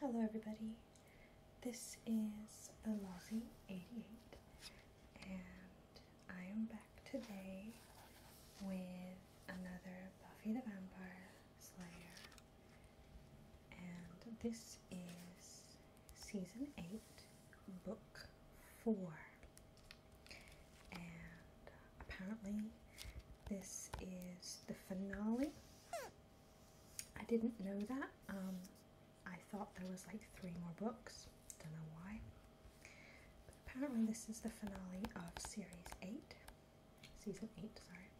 Hello, everybody. This is the Lousy 88, and I am back today with another Buffy the Vampire Slayer, and this is season 8, book 4. And apparently, this is the finale. I didn't know that. Um, I thought there was like three more books. Don't know why. But apparently, this is the finale of series eight, season eight. Sorry.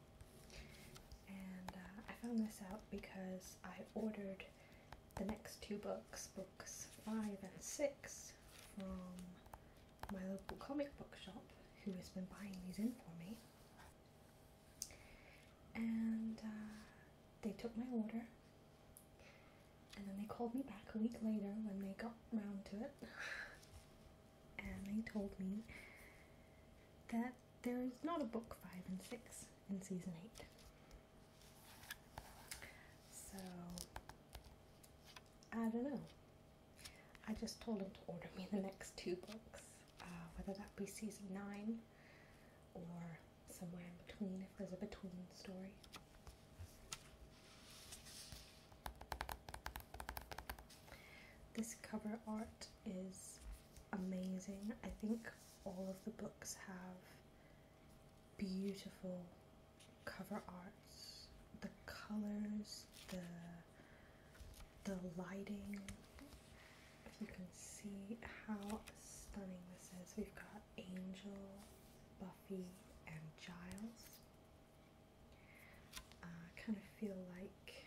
And uh, I found this out because I ordered the next two books, books five and six, from my local comic book shop, who has been buying these in for me. And uh, they took my order, and then they called me back a week later when they got round to it, and they told me that there is not a book five and six in season eight. So I don't know. I just told him to order me the next two books, uh, whether that be season nine or somewhere in between, if there's a between story. This cover art is amazing. I think all of the books have beautiful cover arts the colors the the lighting if you can see how stunning this is we've got angel buffy and giles i uh, kind of feel like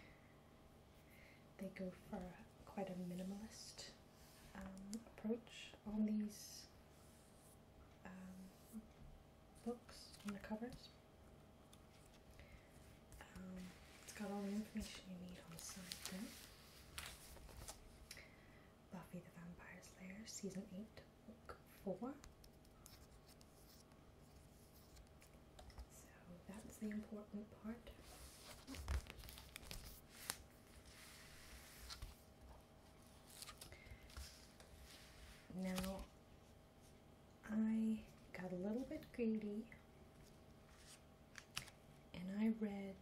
they go for quite a minimalist um, approach on these um, books on the covers. Um, it's got all the information you need on the side there. Buffy the Vampire Slayer, Season 8, Book 4. So that's the important part. Now, I got a little bit greedy and I read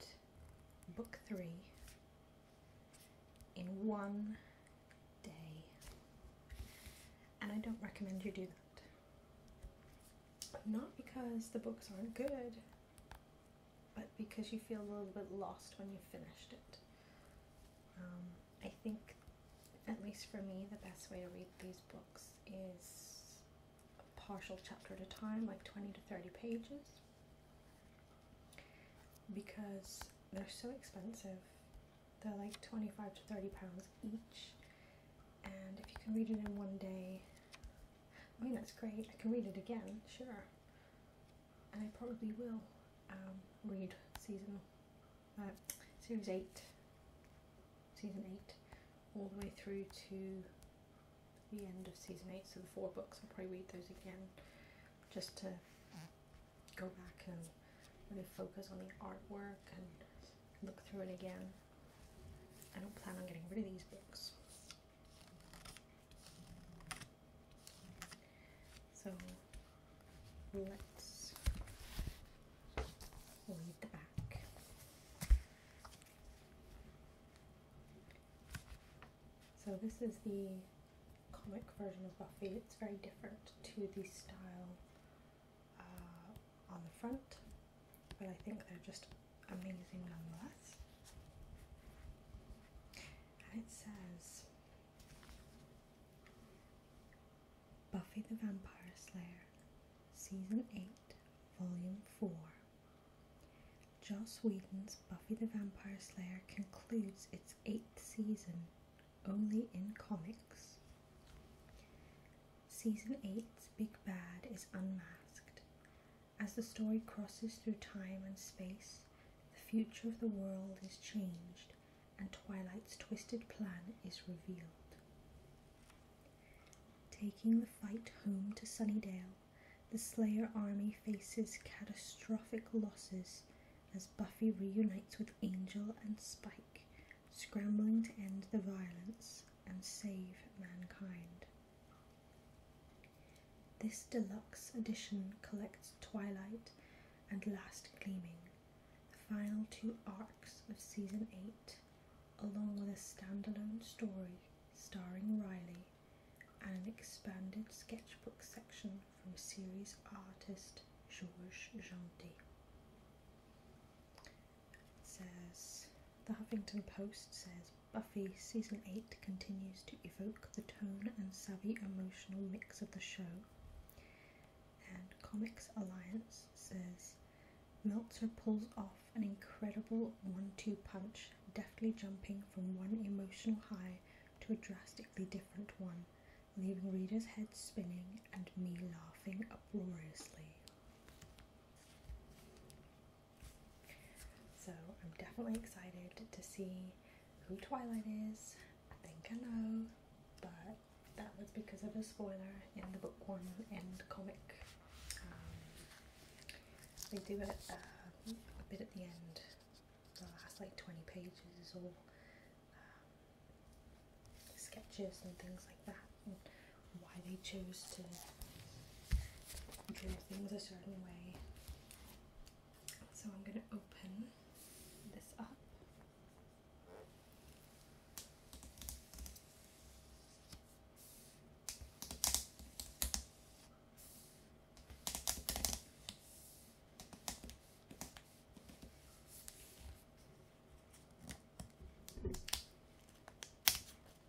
book three in one day. And I don't recommend you do that. Not because the books aren't good, but because you feel a little bit lost when you've finished it. Um, I think, at least for me, the best way to read these books is a partial chapter at a time, like 20 to 30 pages, because they're so expensive. They're like 25 to 30 pounds each, and if you can read it in one day, I mean, that's great. I can read it again, sure and I probably will um, read season uh, series eight, season eight, all the way through to the end of season eight. So the four books, I'll probably read those again, just to go back and really focus on the artwork and look through it again. I don't plan on getting rid of these books. So let's read the back. So this is the comic version of Buffy. It's very different to the style uh, on the front, but I think they're just amazing nonetheless. And it says Buffy the Vampire Slayer, Season 8, Volume 4. Joss Whedon's Buffy the Vampire Slayer concludes its eighth season only in comics. Season 8's Big Bad is unmasked, as the story crosses through time and space, the future of the world is changed and Twilight's twisted plan is revealed. Taking the fight home to Sunnydale, the Slayer army faces catastrophic losses as Buffy reunites with Angel and Spike, scrambling to end the violence and save mankind. This deluxe edition collects Twilight and Last Gleaming, the final two arcs of Season 8, along with a standalone story starring Riley and an expanded sketchbook section from series artist Georges Genty. says, The Huffington Post says Buffy season 8 continues to evoke the tone and savvy emotional mix of the show. And Comics Alliance says Meltzer pulls off an incredible one two punch, deftly jumping from one emotional high to a drastically different one, leaving readers' heads spinning and me laughing uproariously. So I'm definitely excited to see who Twilight is. I think I know, but that was because of a spoiler in the book one and comic. Um, they do it uh, a bit at the end, the last like 20 pages is all um, sketches and things like that why they chose to draw things a certain way. So I'm going to open this up.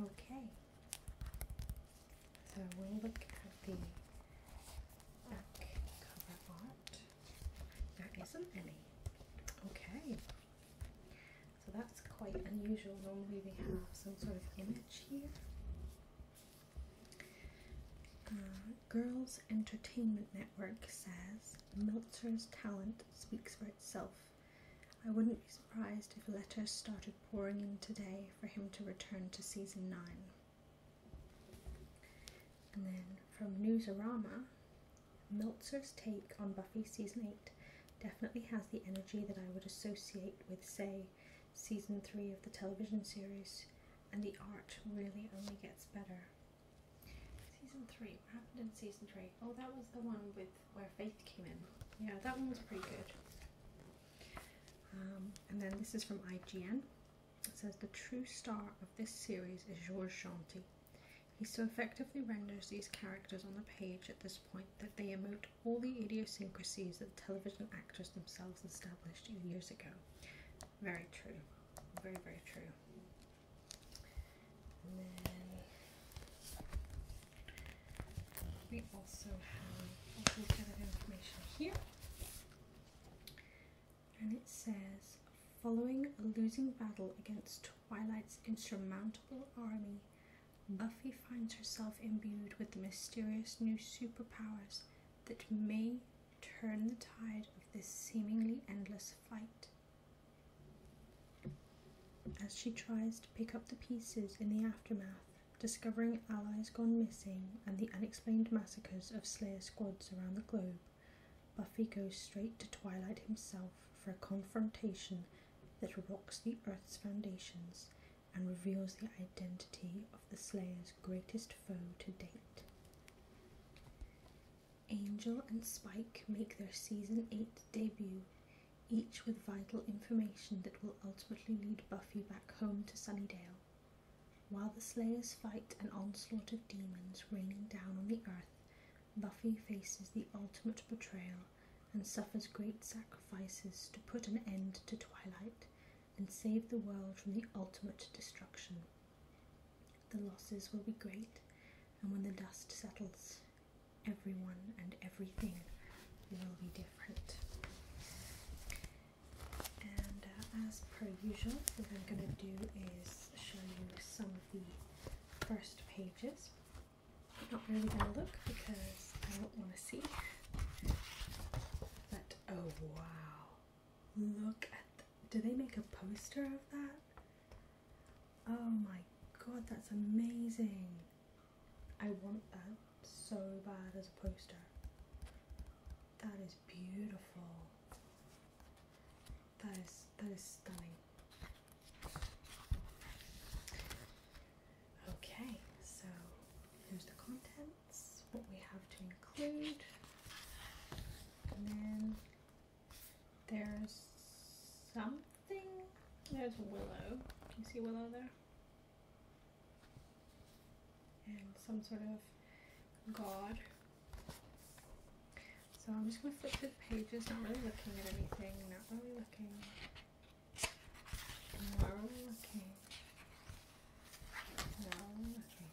Okay, so we look at the back cover art. There isn't any. Okay, so that's quite unusual. Normally we have some sort of image here. Uh, Girls Entertainment Network says Meltzer's talent speaks for itself. I wouldn't be surprised if letters started pouring in today for him to return to season 9. And then from Newsarama, Meltzer's take on Buffy season 8 definitely has the energy that I would associate with, say, season 3 of the television series, and the art really only gets better. Season three. What happened in season three? Oh, that was the one with where Faith came in. Yeah, that one was pretty good. Um, and then this is from IGN. It says the true star of this series is Georges Chanty. He so effectively renders these characters on the page at this point that they emote all the idiosyncrasies that television actors themselves established years ago. Very true. Very, very true we also have all this of information here. And it says, following a losing battle against Twilight's insurmountable army, Buffy finds herself imbued with the mysterious new superpowers that may turn the tide of this seemingly endless fight. As she tries to pick up the pieces in the aftermath, discovering allies gone missing and the unexplained massacres of Slayer squads around the globe, Buffy goes straight to Twilight himself for a confrontation that rocks the Earth's foundations and reveals the identity of the Slayer's greatest foe to date. Angel and Spike make their season 8 debut, each with vital information that will ultimately lead Buffy back home to Sunnydale. While the Slayers fight an onslaught of demons raining down on the earth, Buffy faces the ultimate betrayal and suffers great sacrifices to put an end to Twilight and save the world from the ultimate destruction. The losses will be great, and when the dust settles, everyone and everything will be different. And uh, as per usual, what I'm going to do is show you some of the first pages. I'm not really going to look because I don't want to see. But oh wow, Look at the, do they make a poster of that? Oh my god, that's amazing. I want that so bad as a poster. That is beautiful. That is that is stunning. Okay, so here's the contents, what we have to include. And then there's something. There's Willow. you see Willow there? And some sort of god. So I'm just going to flip through the pages, not really looking at anything, not really looking, not really looking, not really looking.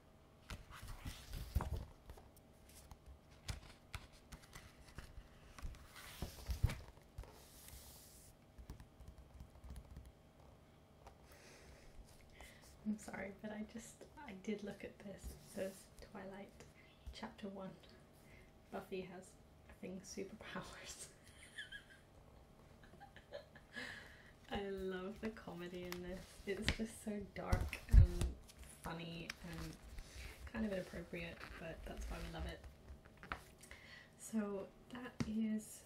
I'm sorry, but I just I did look at this. this Twilight, Chapter One. Buffy has I think superpowers. I love the comedy in this. It's just so dark and funny and kind of inappropriate, but that's why we love it. So that is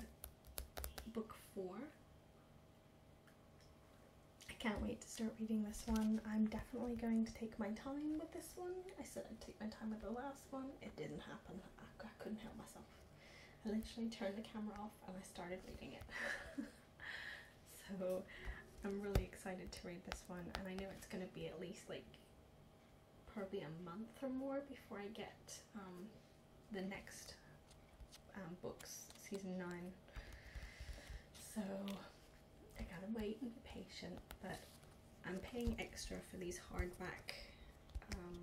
book four. I can't wait to start reading this one. I'm definitely going to take my time with this one. I said I'd take my time with the last one. It didn't happen. I, couldn't help myself. I literally turned the camera off and I started reading it. so I'm really excited to read this one and I know it's going to be at least like probably a month or more before I get um, the next um, books, season 9. So I gotta wait and be patient, but I'm paying extra for these hardback um,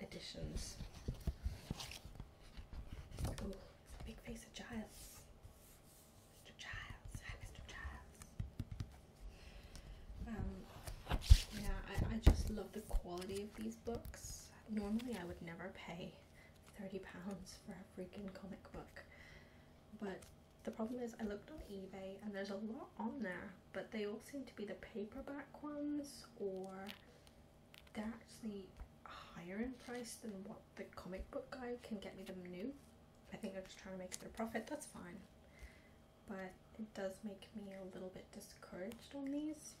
editions. Ooh, it's a big face of Giles. Mr. Giles. Mr. Giles. Um, yeah, I, I just love the quality of these books. Normally, I would never pay £30 for a freaking comic book, but the problem is I looked on eBay and there's a lot on there, but they all seem to be the paperback ones or they're actually higher in price than what the comic book guy can get me the new. I think they're just trying to make a bit profit, that's fine. But it does make me a little bit discouraged on these.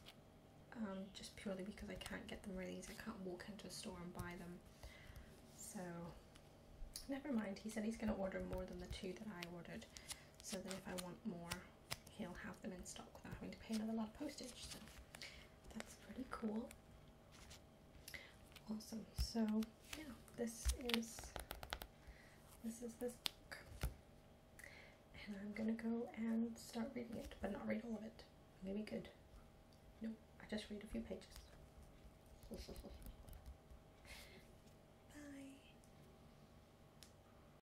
Um, just purely because I can't get them released. I can't walk into a store and buy them. So, never mind. He said he's going to order more than the two that I ordered so that if I want more, he'll have them in stock without having to pay another lot of postage. So that's pretty cool. Awesome. So yeah, this is this is this book, and I'm gonna go and start reading it, but not read all of it. I'm gonna be good. Nope. I just read a few pages. Bye.